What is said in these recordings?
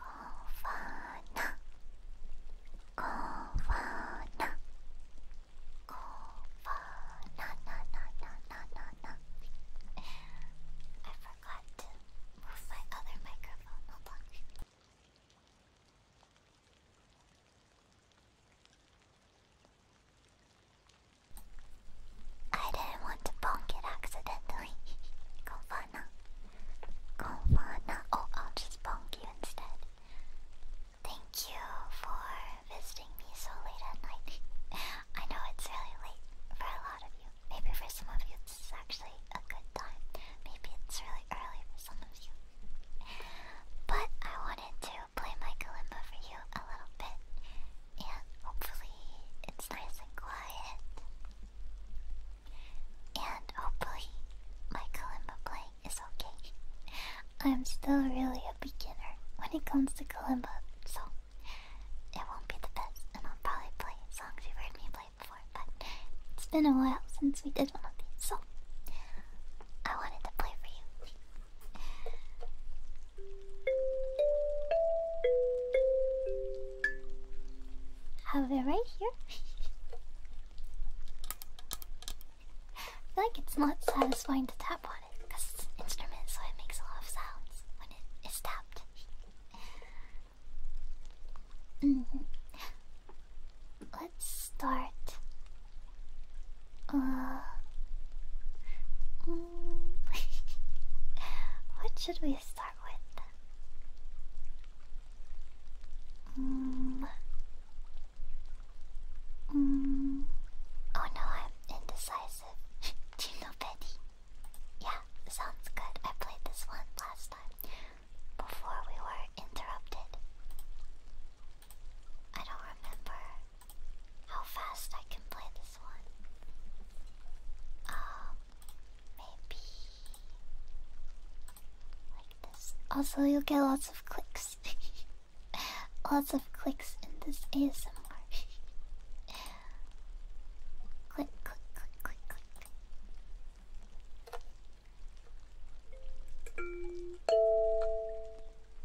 Covana, Covana, Covana, na na na na na na. I forgot to move my other microphone. Hold I didn't want to bonk it accidentally. Confana. Confana. Oh, I'll just bonk you instead. Thank you for visiting me so late at night. I know it's really late for a lot of you. Maybe for some of you this is actually a good time. Maybe it's really early for some of you. But I wanted to to play my kalimba for you a little bit, and hopefully it's nice and quiet. And hopefully my kalimba playing is okay. I'm still really a beginner when it comes to kalimba, so it won't be the best, and I'll probably play songs you've heard me play before, but it's been a while since we did one of these, so I wanted to play for you. Have it right here. I feel like it's not satisfying to tap on it because it's an instrument, so it makes a lot of sounds when it is tapped. Mm-hmm. Let's start. Uh, what should we start with? Mm. Mm. Oh no, I'm indecisive. Do you know Betty? Yeah, sounds good. I played this one last time before we were interrupted. I don't remember how fast I can play this one. Um, maybe like this. Also, you'll get lots of clicks. lots of clicks in this ASMR. click, click, click, click, click.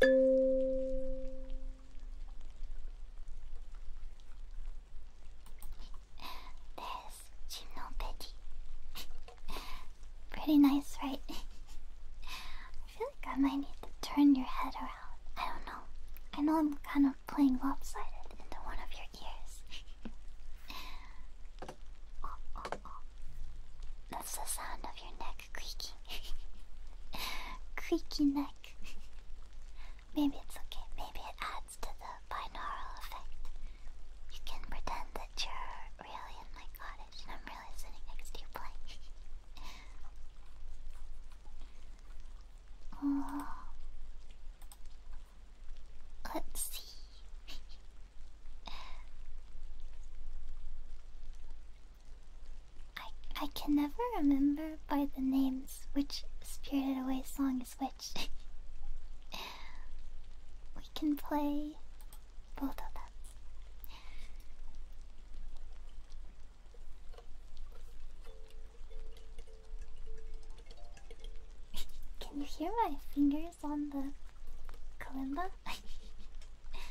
There's Gymnopedia. Pretty nice, right? I feel like I might need to turn your head around. I don't know. I know I'm kind of playing lopsided into one of your ears. That's the sound of your neck creaking. Creaky neck. Maybe it's okay. Maybe it adds to the binaural effect. You can pretend that you're really in my cottage and I'm really sitting next to you playing. Let's see. I I can never remember by the names which Spirited Away song is which. we can play both of them. Can you hear my fingers on the kalimba?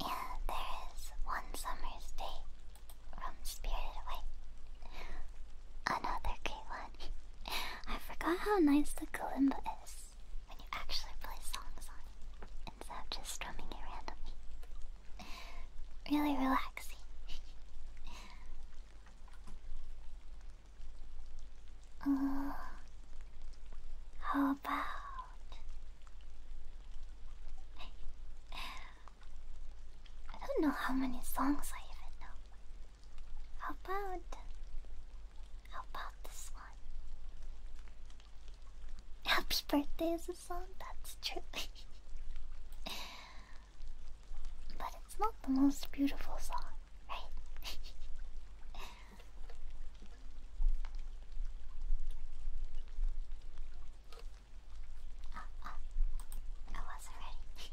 Yeah, there is one summer's day from um, Spirited Away. Another great one. I forgot how nice the kalimba is when you actually play songs on it instead of just strumming it randomly. Really relaxing. Oh, how about I don't know how many songs I even know. How about how about this one? Happy birthday is a song, that's true. but it's not the most beautiful song, right? Oh, oh. I wasn't ready.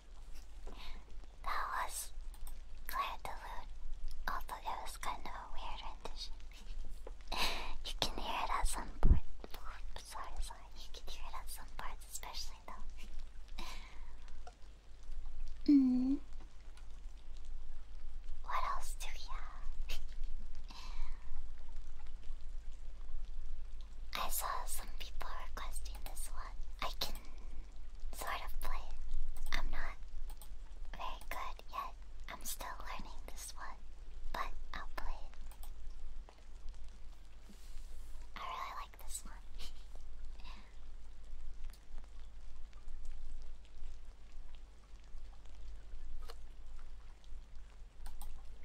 That was Claire de Lune, although that was kind of a weird rendition. you can hear it at some point. sorry, sorry. You can hear it at some parts, especially though. mm. What else do we I saw some people requesting this one. I can sort of play it. I'm not very good yet. I'm still learning this one, but I'll play it. I really like this one.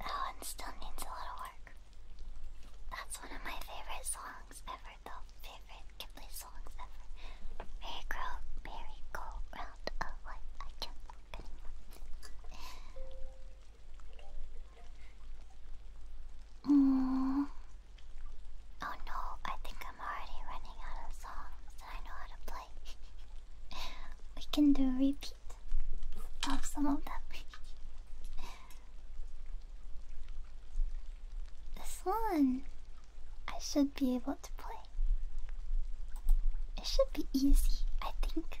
That one still needs a lot of work. That's one of my favorite songs ever, though. Favorite Ghibli songs ever. Merry grow, round of life. I can't look anymore. Mm. Oh no, I think I'm already running out of songs that I know how to play we can do a repeat of some of them. this one I should be able to play. It should be easy, I think.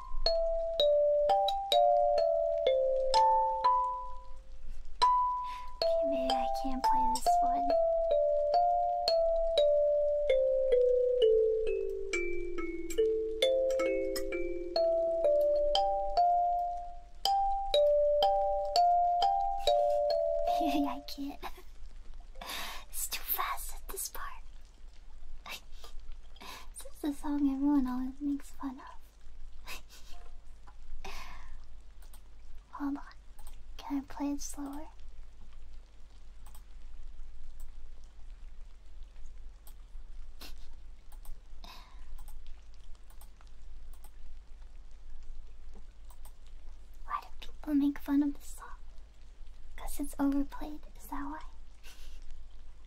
Okay, maybe I can't play this one. Maybe I can't. it's too fast at this part this is the song everyone always makes fun of. Hold on. Can I play it slower? Why do people make fun of this song? Because it's overplayed, is that why?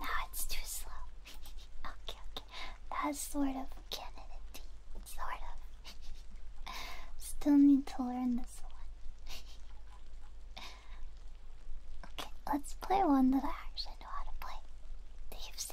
No, it's too slow. okay, okay. That's sort of Kennedy. Sort of. Still need to learn this one. okay, let's play one that I actually know how to play. Thieves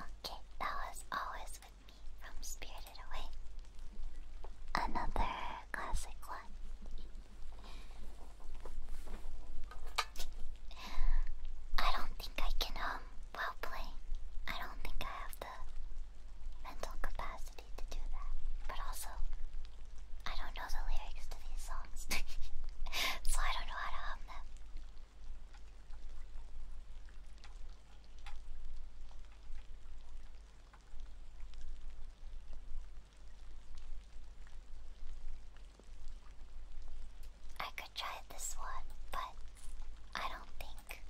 Okay, that was always with me from Spirited Away. Another classic one. I don't think I can hum well play. I don't think I have the mental capacity to do that. But also I don't know the lyrics to these songs. so I don't know how to hum them. I could try this one, but I don't think.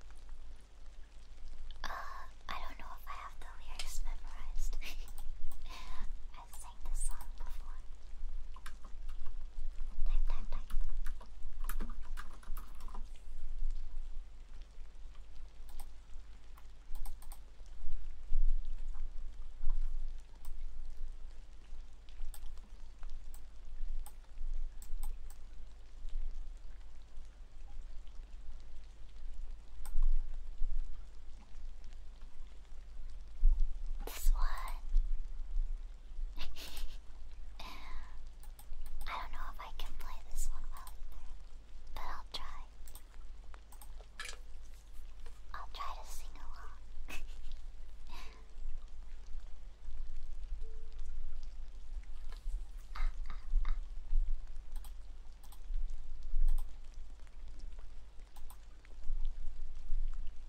Uh, I don't know if I have the lyrics memorized. i sang this song before. Type, type, type. This one I don't know if I can play this one well but I'll try. I'll try to sing along.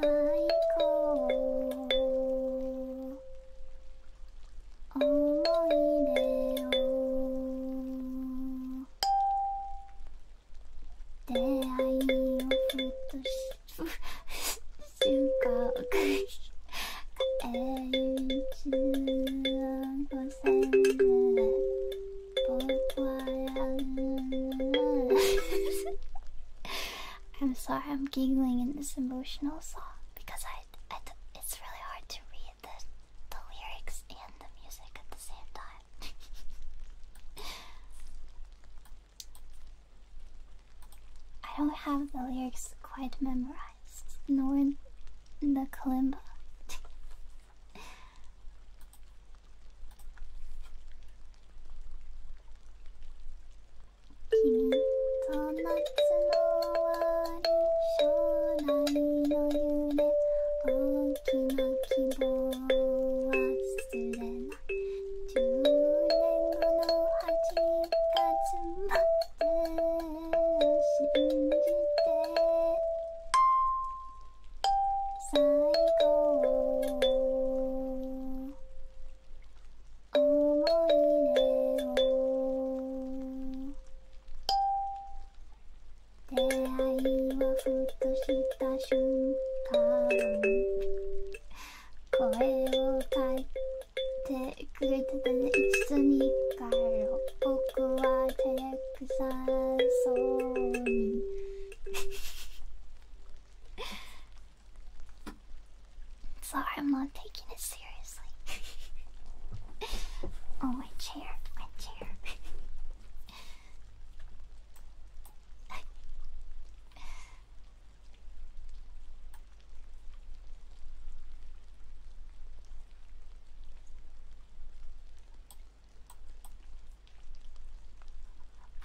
最高思い出を出会いをふとし瞬間帰り15歳で僕はやる I'm sorry I'm giggling in this emotional song because I, it's really hard to read the, the lyrics and the music at the same time. I don't have the lyrics quite memorized, nor the kalimba. きっと夏の終わり将来の夢大きな希望を忘れない10年後の8月まで信じて最後思い出を。会いはふとした瞬間声をかいてくれてたね一度に帰ろう僕は照れくさそうに Sorry, I'm not taking it seriously. oh, my chair, my chair.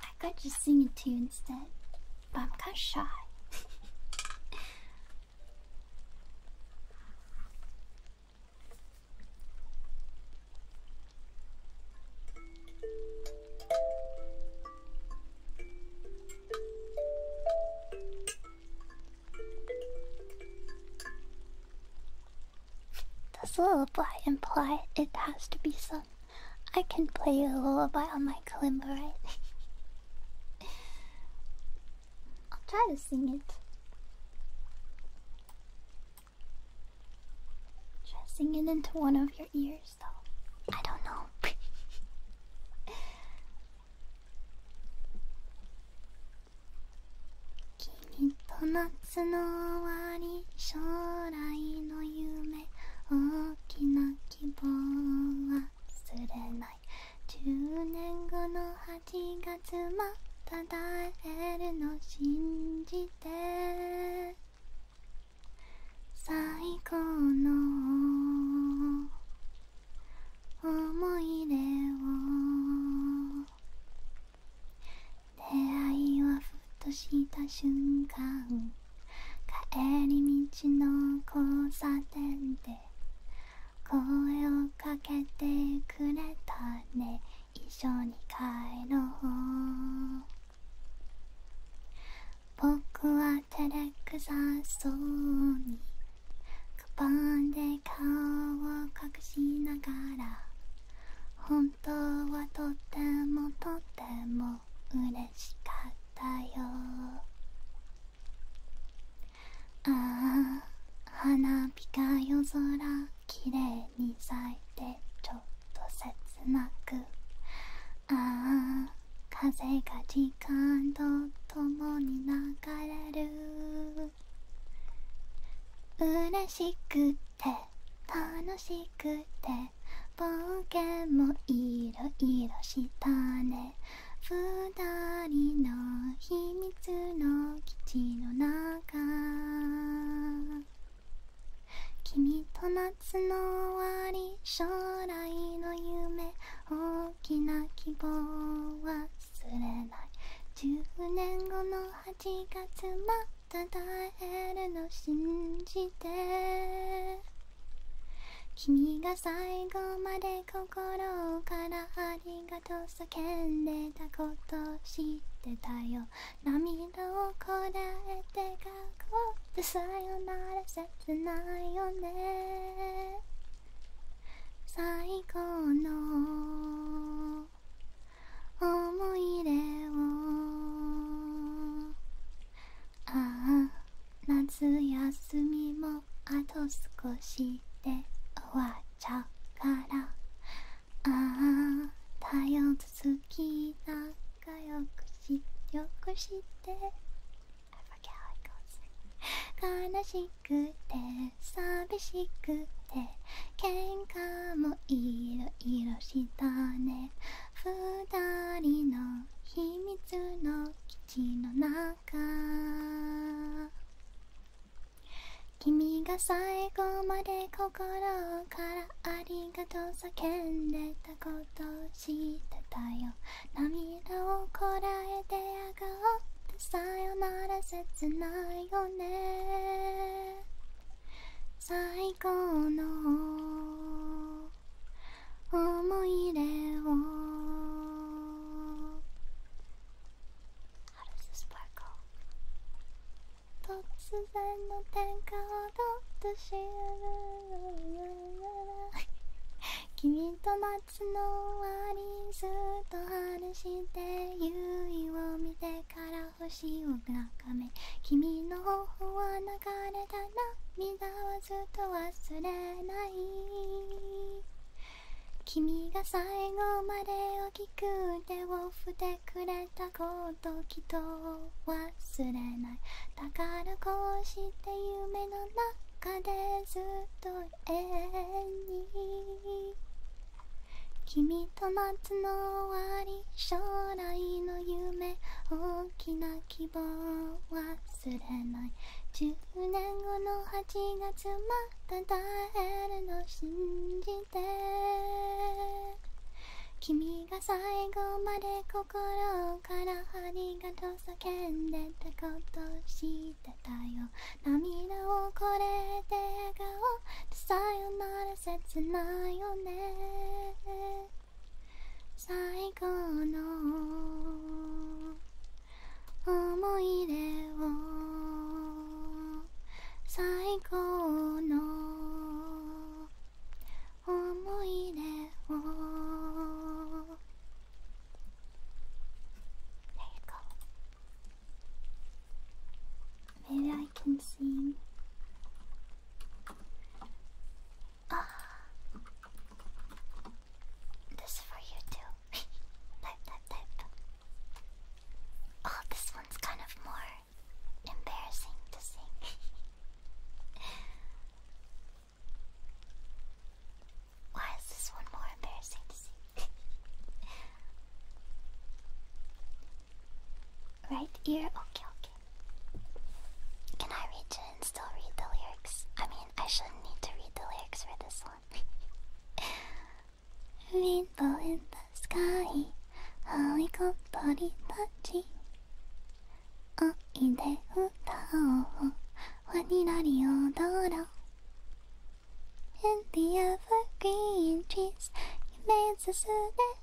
I could just sing a tune instead, but I'm kind of shy. Does the imply it has to be sung? I can play you a lullaby on my kalimba, I'll try to sing it. Try it into one of your ears, though. I don't know. Kimi to natsu no owari, shourai no yume. Oh. きな希望は忘れない10年後の8月また会えるの信じて最高の思い出を出会いはふとした瞬間帰り道の交差点で声をかけてくれたね一緒に帰ろう僕は照れくさそうにカバンで顔を隠しながら本当はとってもとっても嬉しかったよああ花火が夜空きれいに咲いてちょっと切なくああ風が時間とともに流れる嬉しくて楽しくてね冒険もいろいろしたね二人の秘密の基地の中君と夏の終わり将来の夢大きな希望は忘れない10年後の8月また会えるの信じて君が最後まで心からありがとう叫んでたこと知ってたよ涙をこらえて学校でさよなら切ないよね最高の思い出をああ夏休みもあと少しで終わっちゃうからああ太陽続き仲良くしよくして悲しくて寂しくて喧嘩もいろいろしたね二人の秘密の基地の中君が最後まで心からありがとう叫んでたことを知ってたよ涙をこらえてあがってさよなら切ないよね最高の思い出を突然の天下をどって知る君と夏の終わりずっと話して夕日を見てから星を眺め君の頬は流れた涙はずっと忘れない君が最後まで大きく手を振ってくれたこときっと忘れないだからこうして夢の中でずっと永遠に君と夏の終わり将来の夢大きな希望忘れない10年後の8月また会えるの信じて君が最後まで心からありがとう叫んでたことしてたよ涙をこれで笑顔でさよなら切ないよね最後の思い出を最高の思い出をイコ m a y Uh, this for you too. type, type, type. Oh, this one's kind of more embarrassing to sing. Why is this one more embarrassing to sing? right ear? Okay, okay. Can I reach it and still read the lyrics? I mean, I shouldn't need to read the lyrics for this one. Rainbow in the sky, Hollywood body touchy. Oh, ide utao, waninari odoro. In the evergreen trees, you made the sude.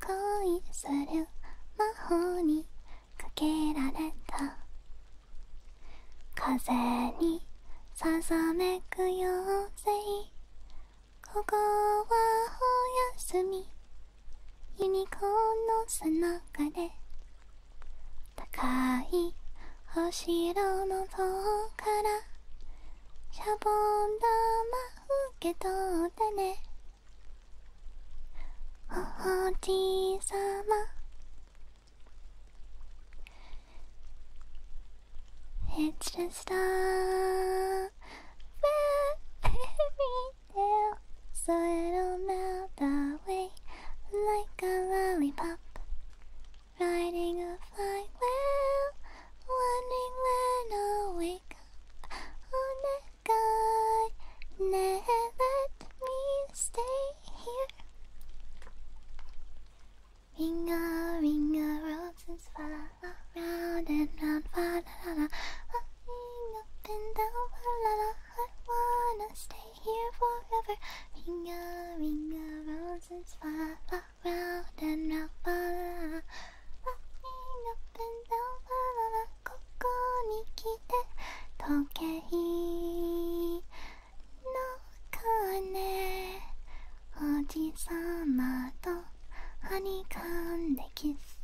Koi suru mahoni. かけられた」「風にささめくよう妖い。ここはおやすみ」「ユニコーンの背中で」「高いお城の塔から」「シャボン玉受け取ってね」おじいさま It's just a fairy tale So it'll away like a lollipop Riding a flywheel Wondering when I'll wake up Oh, God never let me stay here. Ring a ring a roses fly around and round, fa la la la. Ring up and down, fa la la. I wanna stay here forever. Ring a ring a roses fly around and round, fa la la. Ring up and ここに来て時計の鐘おじさまとはにかんでキス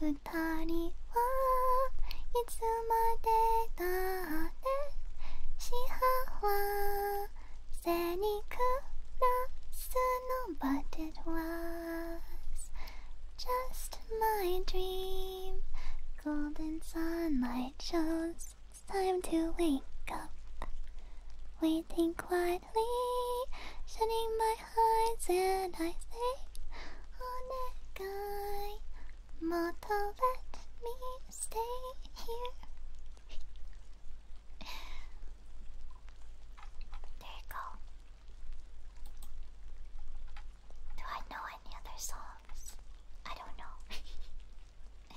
二人はいつまでだって幸せに暮らすの But it was Just my dream, golden sunlight shows it's time to wake up. Waiting quietly, shutting my eyes, and I say, Oh, that guy, motto, let me stay here. there you go. Do I know any other songs? I don't know.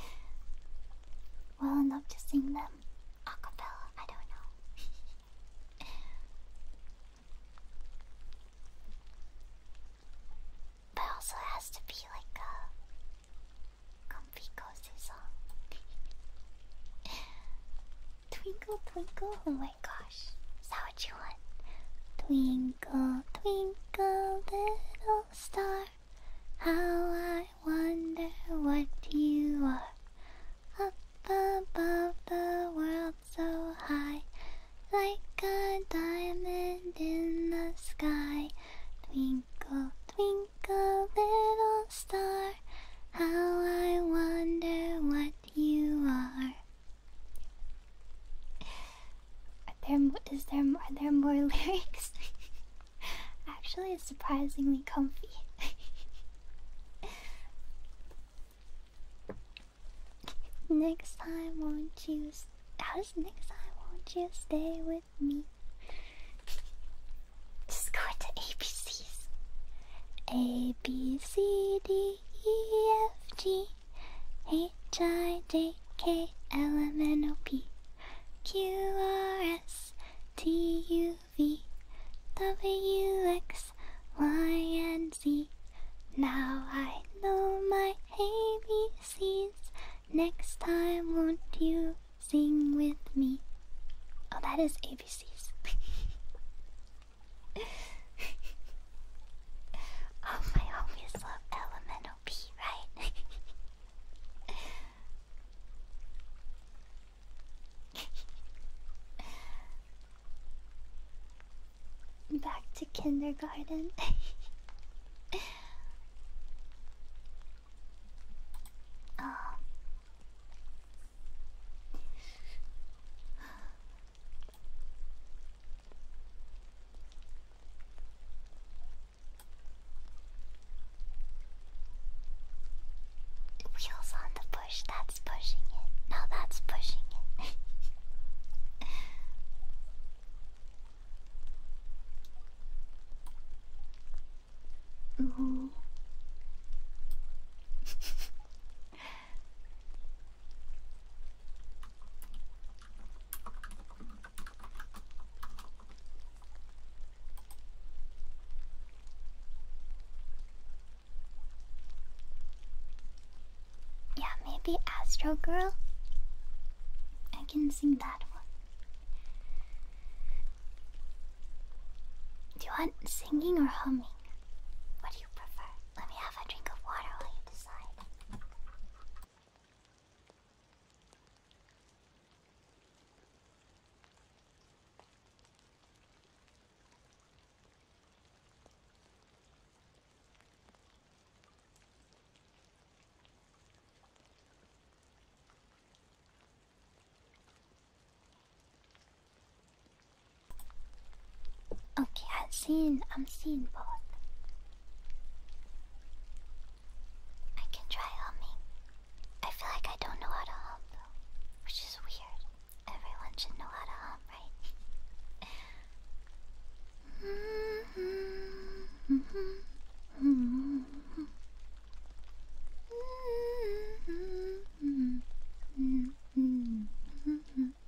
well enough to sing them acapella, I don't know. but also has to be like a comfy cozy song. twinkle twinkle, gosh. Is that what you want? Twinkle, twinkle, little star, how I wonder what you are. Up above the world so high, like a diamond in the sky. Twinkle, twinkle, little star, how I wonder what you are. Are there is there are there more lyrics? Actually, it's surprisingly comfy. next time, won't you? How next time? Won't you stay with me? Just go to ABCs. A B C D E F G H I J K L M N O P Q R S T U V W X Y and Z. Now I know my ABCs. Next time, won't you sing with me? Oh, that is ABCs. All my homies love elemental P, right? Back to kindergarten. oh. Wheels on the push, that's pushing it. Now that's pushing it. Ooh. Yeah, maybe Astro Girl? I can sing that one. Do you want singing or humming? What do you prefer? Let me have a drink of water while you decide. Okay, I've seen I'm seeing both. I can try humming. I feel like I don't know how to hum though, which is weird. Everyone should know how to hum, right?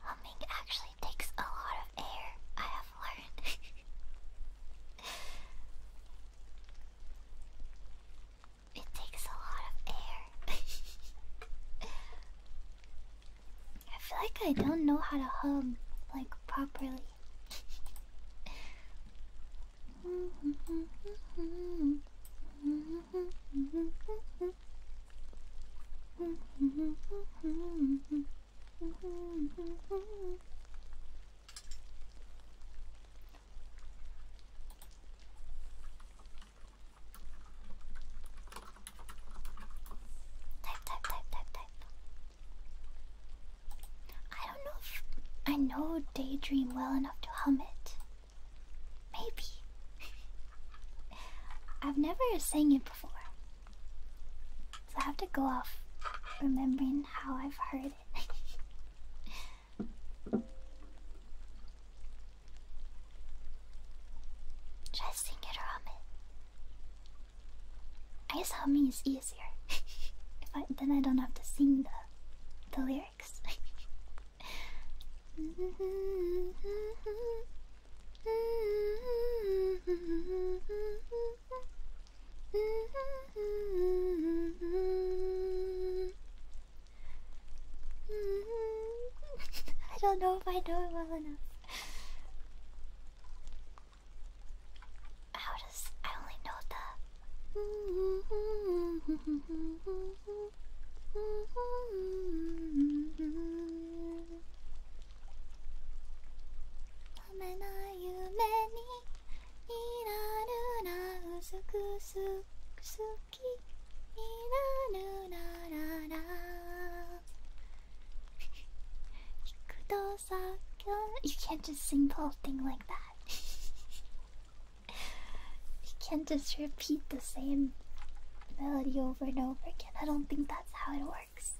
Humming actually takes a lot of air, I have learned. it takes a lot of air. I feel like I don't know how to hum like properly. Type, type, type, type, type. I don't know if I know Daydream well enough to hum it. Maybe. I've never sang it before. So I have to go off remembering how I've heard it. Just sing it or I guess humming is easier. if I then I don't have to sing the the lyrics. I don't know if I know it well enough. How does I only know the めない夢になるなうすくすくすきになるならら You can't just sing the whole thing like that. you can't just repeat the same melody over and over again. I don't think that's how it works.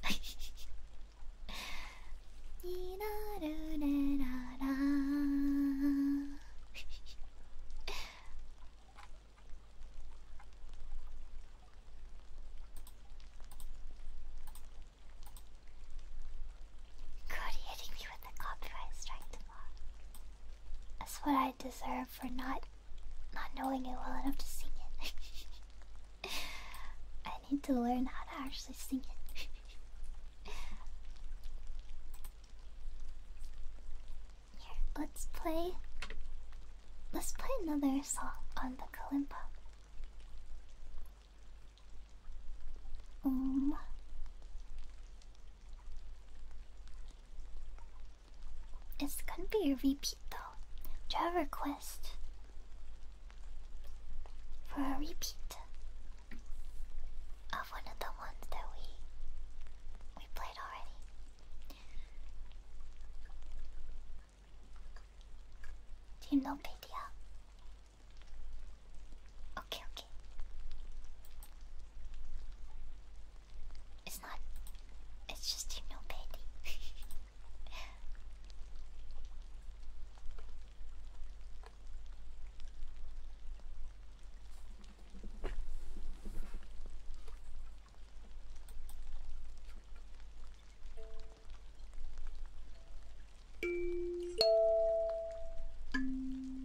That's what I deserve for not not knowing it well enough to sing it. I need to learn how to actually sing it. Here, let's play. Let's play another song on the kalimba. Um, it's gonna be a repeat though. Do you request for a repeat of one of the ones that we we played already? Do you know Pedia? Okay, okay. It's not. It's just you know, baby.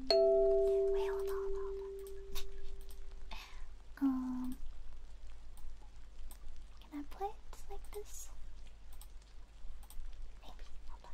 Wait, hold on, um, can I play it like this? Maybe. Hold on.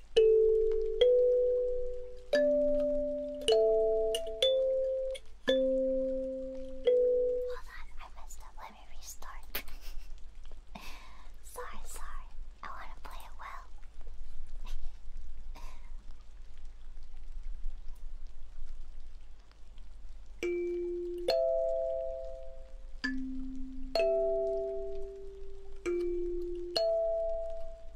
Hold on, I messed up. Let me restart. sorry, sorry. I want to play it well.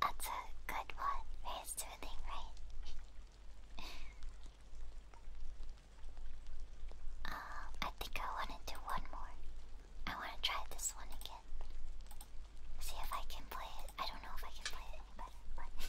That's a good one. Very soothing, right? Uh, I think I want to do one more. I want to try this one again. See if I can play it. I don't know if I can play it any better,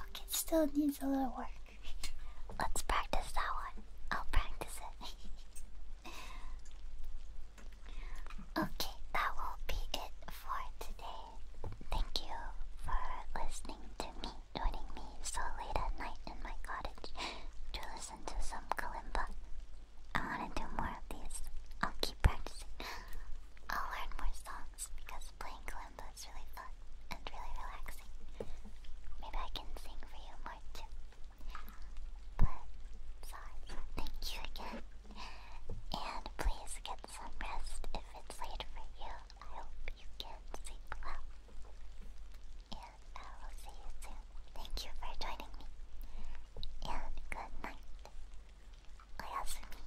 Okay, still needs a little work. Let's practice that one. I'll practice it. okay, that will be it for today. Thank you for listening to me, joining me so late at night in my cottage to listen listen to some kalimba. I want to do more of these. I'll keep practicing. I'll learn more songs because playing kalimba is really fun and really relaxing. Maybe I can sing for you more too. But, sorry. Thank you again. And please get some rest if it's late for you. I hope you can sleep well. I will see you soon. Thank you for joining me. And good night. Oyasumi.